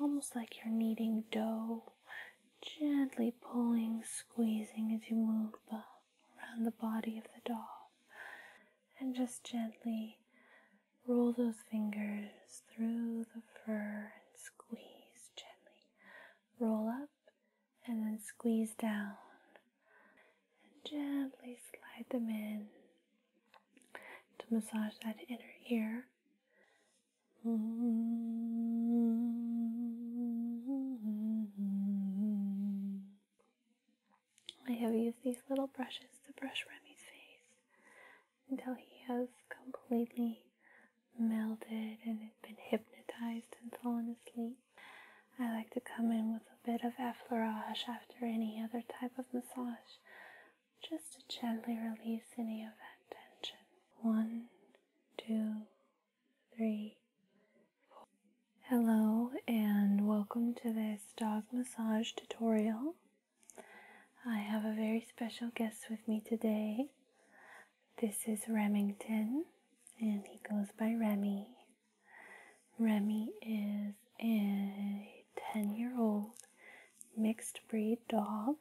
almost like you're kneading dough, gently pulling, squeezing as you move around the body of the doll. And just gently roll those fingers through the fur and squeeze gently. Roll up and then squeeze down. And gently slide them in to massage that inner ear. I have used these little brushes to brush Remy's face until he has completely melted and been hypnotized and fallen asleep. I like to come in with a bit of effleurage after any other type of massage just to gently release any of that tension. One, two, three, four. Hello, and welcome to this dog massage tutorial. I have a very special guest with me today. This is Remington, and he goes by Remy. Remy is a 10 year old mixed breed dog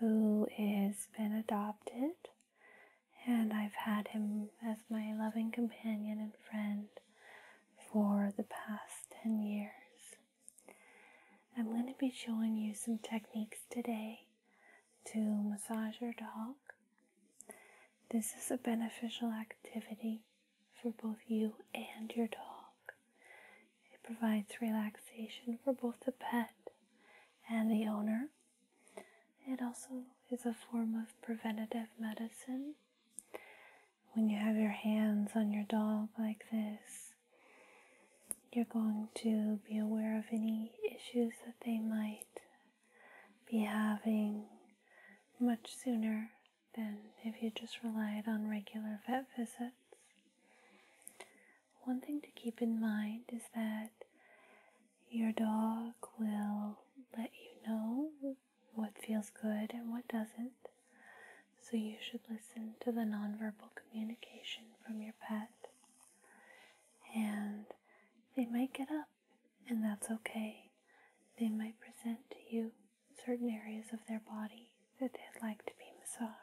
who has been adopted, and I've had him as my loving companion and friend for the past 10 years. I'm going to be showing you some techniques today to massage your dog. This is a beneficial activity for both you and your dog. It provides relaxation for both the pet and the owner. It also is a form of preventative medicine. When you have your hands on your dog like this, you're going to be aware of any issues that they might be having much sooner then, if you just relied on regular vet visits. One thing to keep in mind is that your dog will let you know what feels good and what doesn't, so you should listen to the nonverbal communication from your pet. And they might get up, and that's okay. They might present to you certain areas of their body that they'd like to be massaged.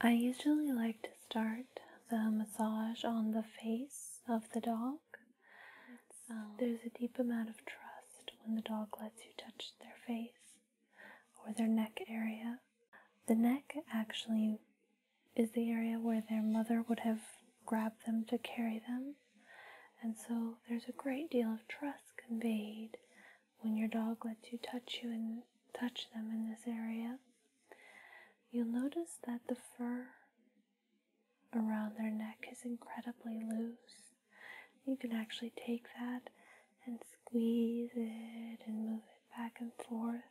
I usually like to start the massage on the face of the dog. Um, there's a deep amount of trust when the dog lets you touch their face or their neck area. The neck actually is the area where their mother would have grabbed them to carry them. And so there's a great deal of trust conveyed when your dog lets you touch you and touch them in this area. You'll notice that the fur around their neck is incredibly loose. You can actually take that and squeeze it and move it back and forth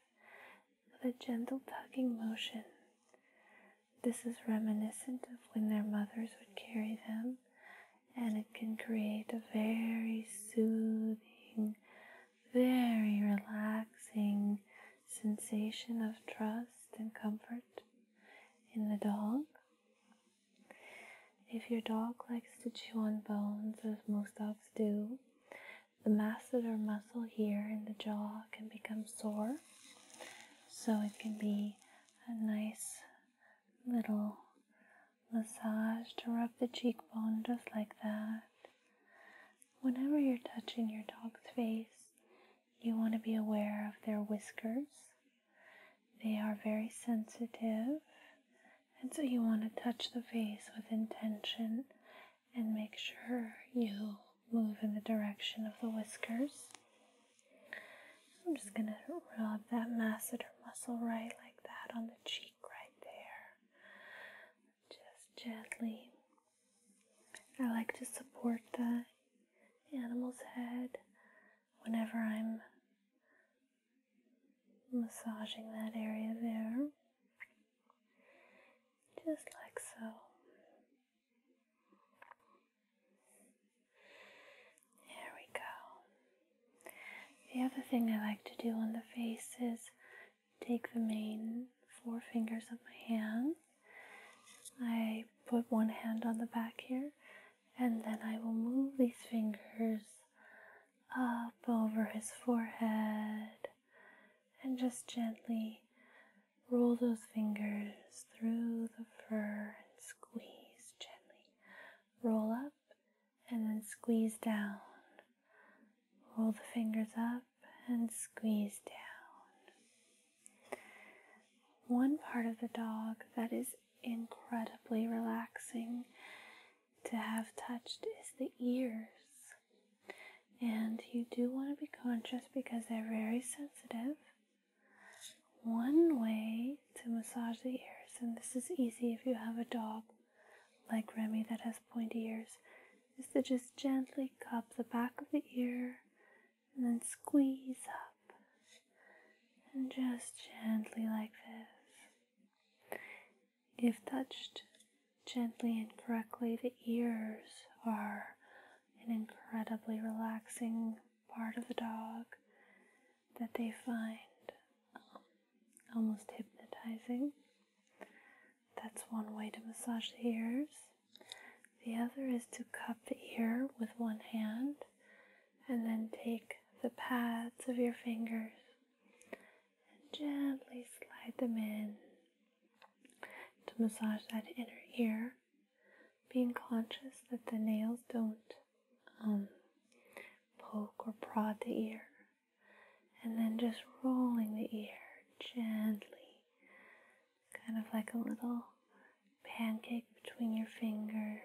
with a gentle tugging motion. This is reminiscent of when their mothers would carry them, and it can create a very soothing, very relaxing sensation of trust and comfort in the dog. If your dog likes to chew on bones, as most dogs do, the masseter muscle here in the jaw can become sore. So it can be a nice little massage to rub the cheekbone just like that. Whenever you're touching your dog's face, you want to be aware of their whiskers. They are very sensitive, and so you want to touch the face with intention and make sure you move in the direction of the whiskers. I'm just going to rub that masseter muscle right like that on the cheek right there. Just gently. I like to support the animal's head whenever I'm massaging that area there just like so. There we go. The other thing I like to do on the face is take the main four fingers of my hand. I put one hand on the back here, and then I will move these fingers up over his forehead and just gently roll those fingers through the fur and squeeze gently. Roll up and then squeeze down. Roll the fingers up and squeeze down. One part of the dog that is incredibly relaxing to have touched is the ears. And you do want to be conscious because they're very sensitive. One way to massage the ears, and this is easy if you have a dog like Remy that has pointy ears, is to just gently cup the back of the ear and then squeeze up. And just gently like this. If touched gently and correctly, the ears are an incredibly relaxing part of the dog that they find um, almost hypnotizing. That's one way to massage the ears. The other is to cup the ear with one hand and then take the pads of your fingers Gently slide them in to massage that inner ear, being conscious that the nails don't um, poke or prod the ear. And then just rolling the ear gently, kind of like a little pancake between your fingers.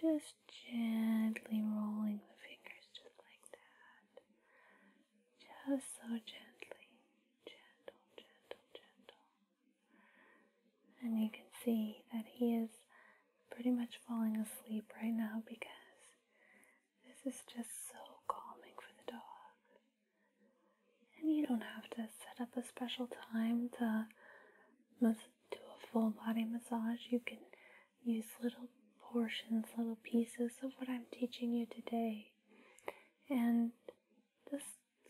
Just gently rolling the fingers just like that just so gently, gentle, gentle, gentle. And you can see that he is pretty much falling asleep right now because this is just so calming for the dog. And you don't have to set up a special time to do a full body massage. You can use little portions, little pieces of what I'm teaching you today. And just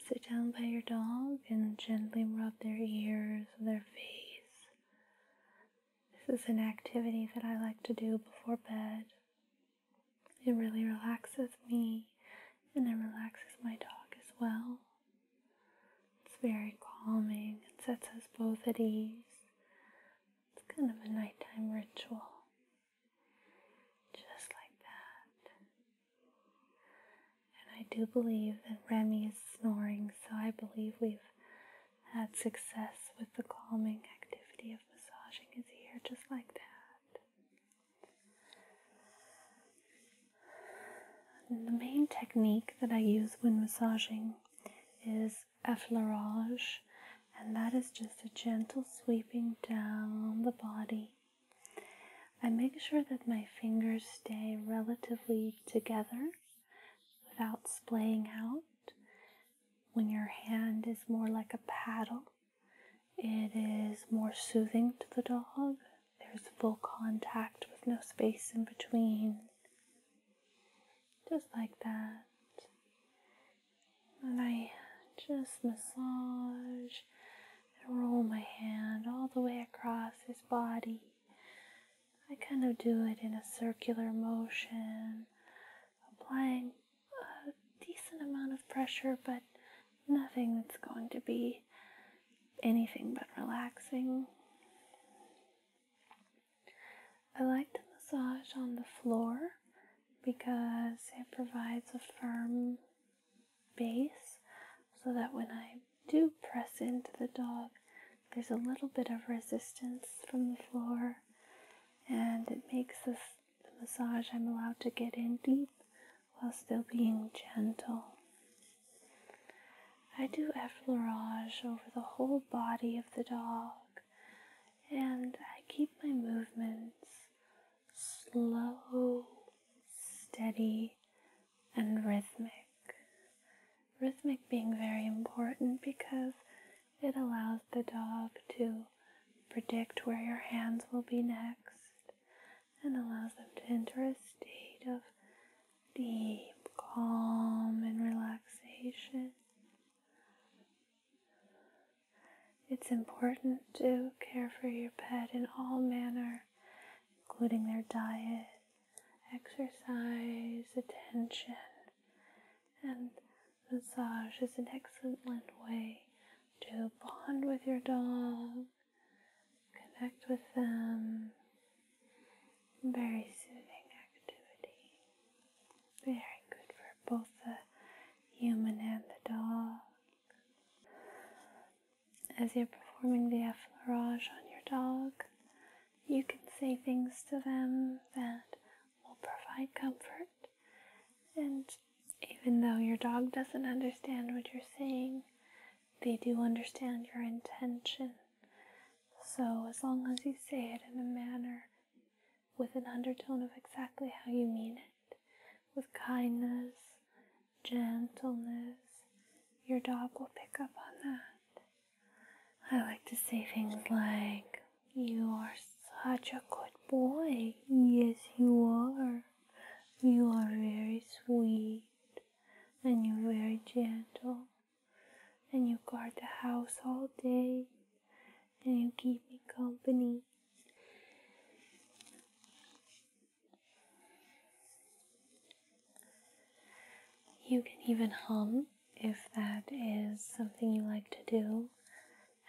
sit down by your dog and gently rub their ears their face. This is an activity that I like to do before bed. It really relaxes me and it relaxes my dog as well. It's very calming. It sets us both at ease. It's kind of a nighttime ritual. Just like that. And I do believe that Remy is snoring, so I believe we've had success with the calming activity of massaging his ear just like that. the main technique that I use when massaging is effleurage, and that is just a gentle sweeping down the body. I make sure that my fingers stay relatively together without splaying out. When your hand is more like a paddle, it is more soothing to the dog. There's full contact with no space in between just like that. And I just massage and roll my hand all the way across his body. I kind of do it in a circular motion, applying a decent amount of pressure, but nothing that's going to be anything but relaxing. I like the massage on the floor because it provides a firm base so that when I do press into the dog, there's a little bit of resistance from the floor and it makes the massage I'm allowed to get in deep while still being gentle. I do effleurage over the whole body of the dog, and I keep my movements slow, steady, and rhythmic. Rhythmic being very important because it allows the dog to predict where your hands will be next and allows them to enter a state of deep calm and relaxation. It's important to care for your pet in all manner, including their diet, exercise, attention, and massage is an excellent way to bond with your dog, connect with them, very soothing activity. Very good for both the human and the dog. As you're performing the effleurage on your dog, you can say things to them that will provide comfort. And even though your dog doesn't understand what you're saying, they do understand your intention so, as long as you say it in a manner with an undertone of exactly how you mean it, with kindness, gentleness, your dog will pick up on that. I like to say things like, You are such a good boy. Yes, you are. You are very sweet and you're very gentle and you guard the house all day and you keep me company. You can even hum if that is something you like to do,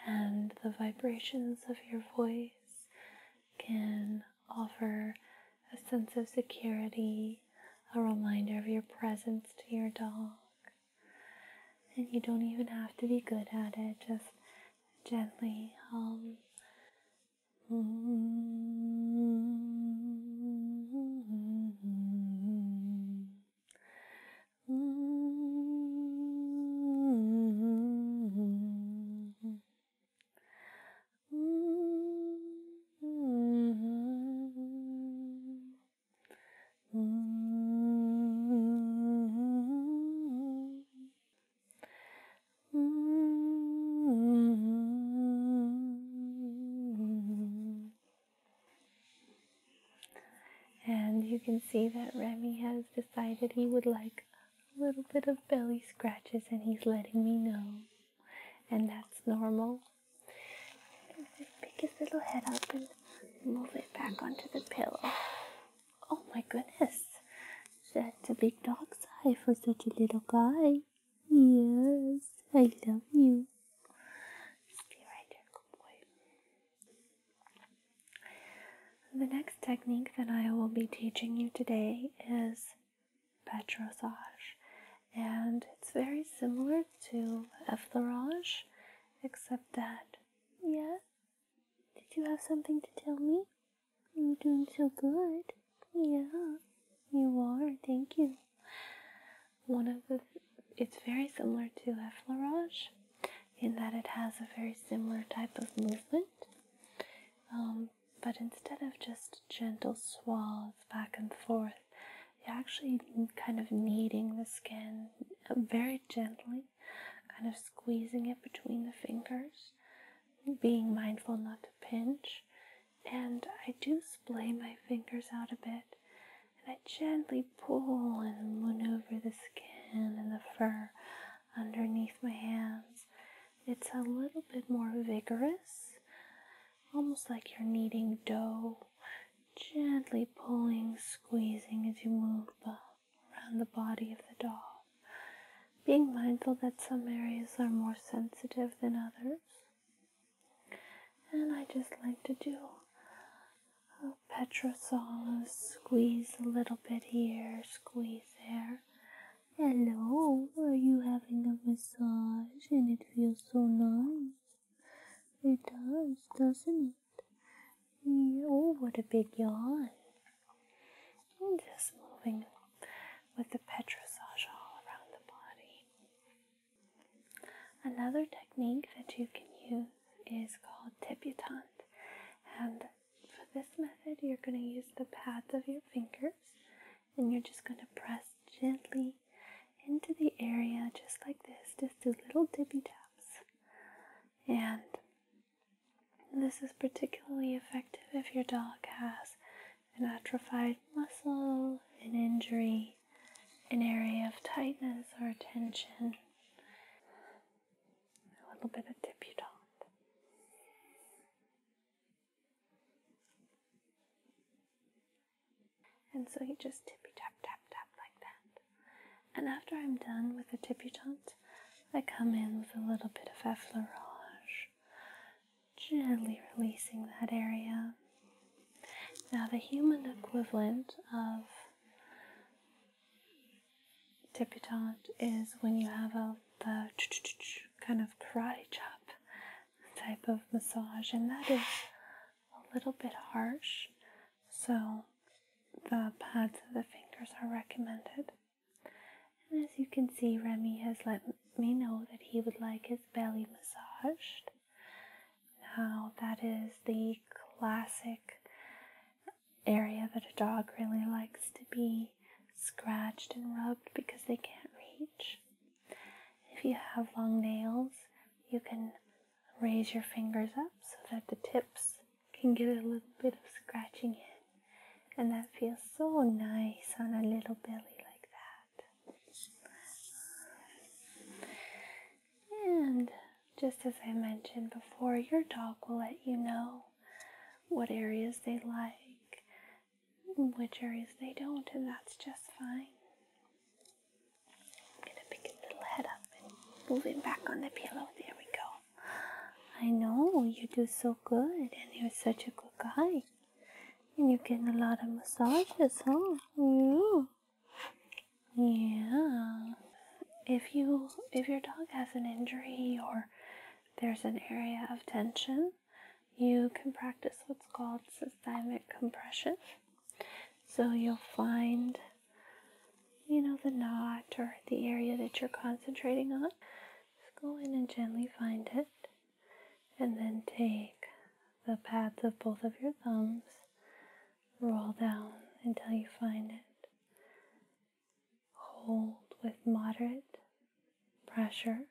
and the vibrations of your voice can offer a sense of security, a reminder of your presence to your dog. And you don't even have to be good at it, just gently hum. And you can see that Remy has decided he would like a little bit of belly scratches, and he's letting me know and that's normal. pick his little head up and move it back onto the pillow. Oh my goodness, that's a big dog's eye for such a little guy. Yes, I love you. be right there, good boy. The next technique that I will be teaching you today is Petrosage, and it's very similar to effleurage, except that, yeah. Did you have something to tell me? You're doing so good. Yeah, you are. Thank you. One of the, it's very similar to effleurage in that it has a very similar type of movement. Um, but instead of just gentle swathes back and forth, you're actually kind of kneading the skin uh, very gently, kind of squeezing it between the fingers, being mindful not to pinch. And I do splay my fingers out a bit, and I gently pull and maneuver the skin and the fur underneath my hands it's a little bit more vigorous, almost like you're kneading dough, gently pulling, squeezing as you move around the body of the doll. Being mindful that some areas are more sensitive than others. And I just like to do a petrosol, squeeze a little bit here, squeeze there, Hello, are you having a massage and it feels so nice? It does, doesn't it? oh, what a big yawn. I'm just moving with the petrosage all around the body. Another technique that you can use is called tibutant. And for this method, you're going to use the pads of your fingers and you're just going to press gently into the area just like this. Just do little dippy taps. And this is particularly effective if your dog has an atrophied muscle, an injury, an area of tightness or tension. A little bit of dipudant. And so you just tippy tap, tap, tap like that. And after I'm done with the tippy tibutant, I come in with a little bit of effleurage, gently releasing that area. Now, the human equivalent of tippy tibutant is when you have a the kind of karate chop type of massage, and that is a little bit harsh. So, the pads of the fingers are recommended. And as you can see, Remy has let me know that he would like his belly massaged. Now, that is the classic area that a dog really likes to be scratched and rubbed because they can't reach. If you have long nails, you can raise your fingers up so that the tips can get a little bit of scratching in. And that feels so nice on a little belly like that. And just as I mentioned before, your dog will let you know what areas they like, which areas they don't, and that's just fine. I'm gonna pick his little head up and move back on the pillow. There we go. I know you do so good, and you're such a good guy. And you're getting a lot of massages, huh? Yeah. Mm. Yeah. If you if your dog has an injury or there's an area of tension, you can practice what's called systemic compression. So you'll find, you know, the knot or the area that you're concentrating on. Just go in and gently find it. And then take the pads of both of your thumbs, roll down until you find it. Hold with moderate pressure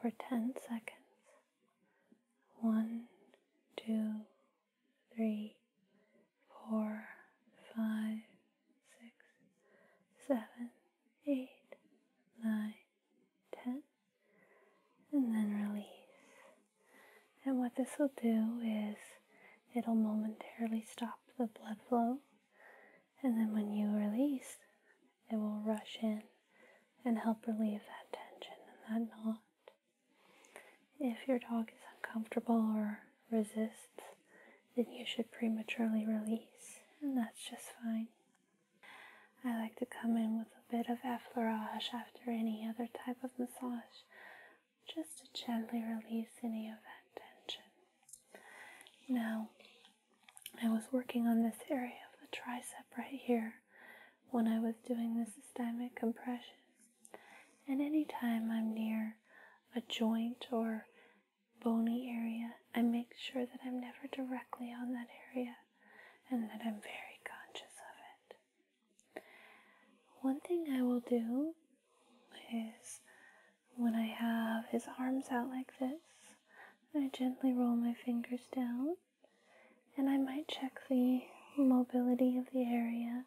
for 10 seconds. One, two, three, four, five, six, seven, eight, nine, ten, and then release. And what this will do is it'll momentarily stop the blood flow and then when you release, it will rush in and help relieve that tension and that knot. If your dog is uncomfortable or resists, then you should prematurely release, and that's just fine. I like to come in with a bit of effleurage after any other type of massage, just to gently release any of that tension. Now, I was working on this area of the tricep right here when I was doing the systemic compression. And anytime I'm near a joint or bony area, I make sure that I'm never directly on that area and that I'm very conscious of it. One thing I will do is when I have his arms out like this, I gently roll my fingers down and I might check the mobility of the area.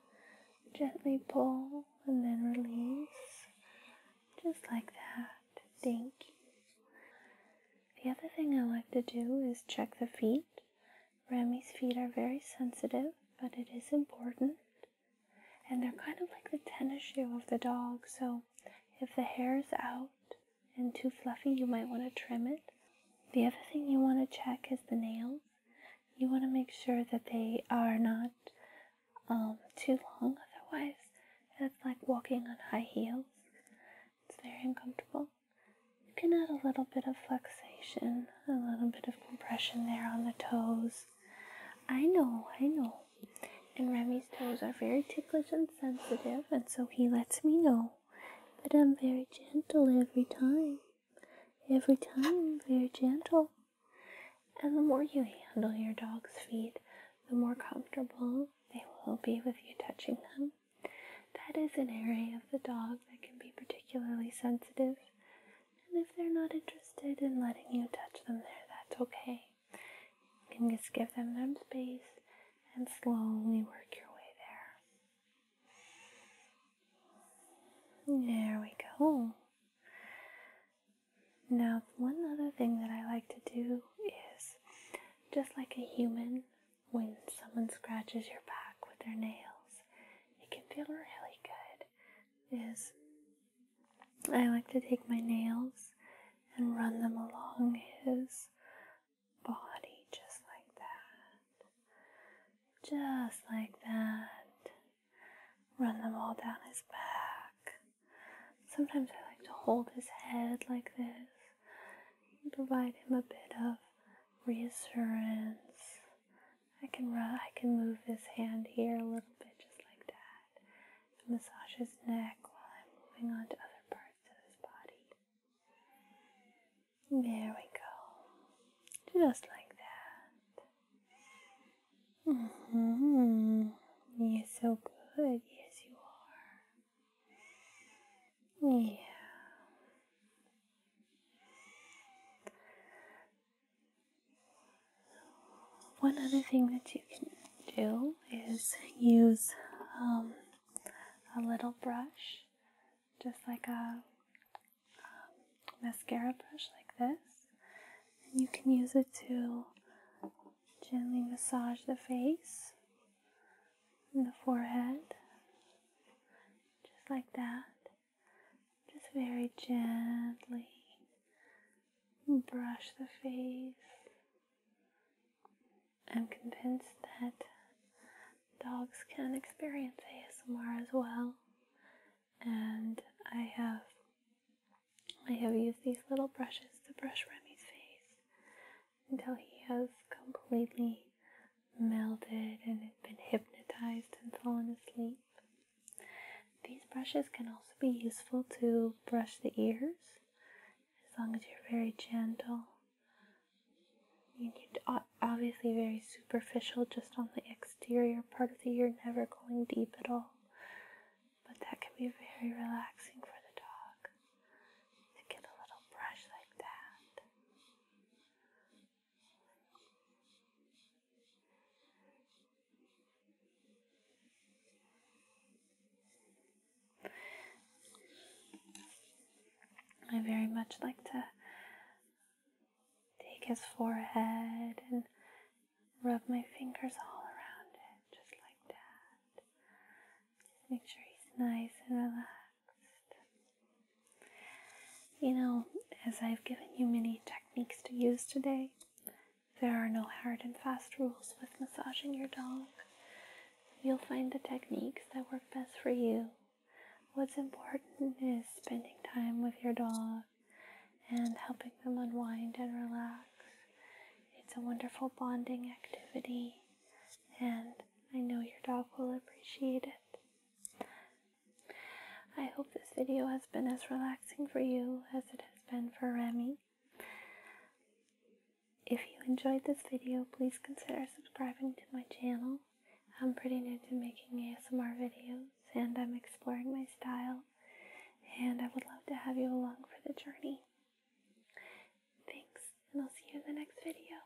Gently pull and then release, just like that. Thank you. The other thing I like to do is check the feet. Remy's feet are very sensitive, but it is important and they're kind of like the tennis shoe of the dog. So if the hair is out and too fluffy, you might want to trim it. The other thing you want to check is the nails. You want to make sure that they are not um, too long, otherwise, it's like walking on high heels. It's very uncomfortable. You can add a little bit of flexation, a little bit of compression there on the toes, I know, I know. And Remy's toes are very ticklish and sensitive, and so he lets me know but I'm very gentle every time. Every time, very gentle. And the more you handle your dog's feet, the more comfortable they will be with you touching them. That is an area of the dog that can be particularly sensitive and if they're not interested in letting you touch them there, that's okay. You can just give them some space and slowly work your way there. There we go. Now, one other thing that I like to do is just like a human, when someone scratches your back with their nails, it can feel really good is I like to take my nails and run them along his body just like that. Just like that. Run them all down his back. Sometimes I like to hold his head like this and provide him a bit of reassurance I can rub, I can move his hand here a little bit, just like that. massage his neck while I'm moving on to other parts of his body. There we go. Just like that. Mm hmm. You're so good. Yes, you are. Yeah. One other thing that you can do is use um, a little brush, just like a um, mascara brush, like this. And you can use it to gently massage the face and the forehead, just like that. Just very gently brush the face. I'm convinced that dogs can experience ASMR as well, and I have I have used these little brushes to brush Remy's face until he has completely melted and had been hypnotized and fallen asleep. These brushes can also be useful to brush the ears as long as you're very gentle. You need obviously very superficial, just on the exterior part of the ear, never going deep at all. But that can be very relaxing for the dog to get a little brush like that. I very much like to take his forehead and rub my fingers all around it, just like that. Just make sure he's nice and relaxed. You know, as I've given you many techniques to use today, there are no hard and fast rules with massaging your dog. You'll find the techniques that work best for you. What's important is spending time with your dog and helping them unwind and relax. It's a wonderful bonding activity, and I know your dog will appreciate it. I hope this video has been as relaxing for you as it has been for Remy. If you enjoyed this video, please consider subscribing to my channel. I'm pretty new to making ASMR videos and I'm exploring my style and I would love to have you along for the journey. Thanks and I'll see you in the next video.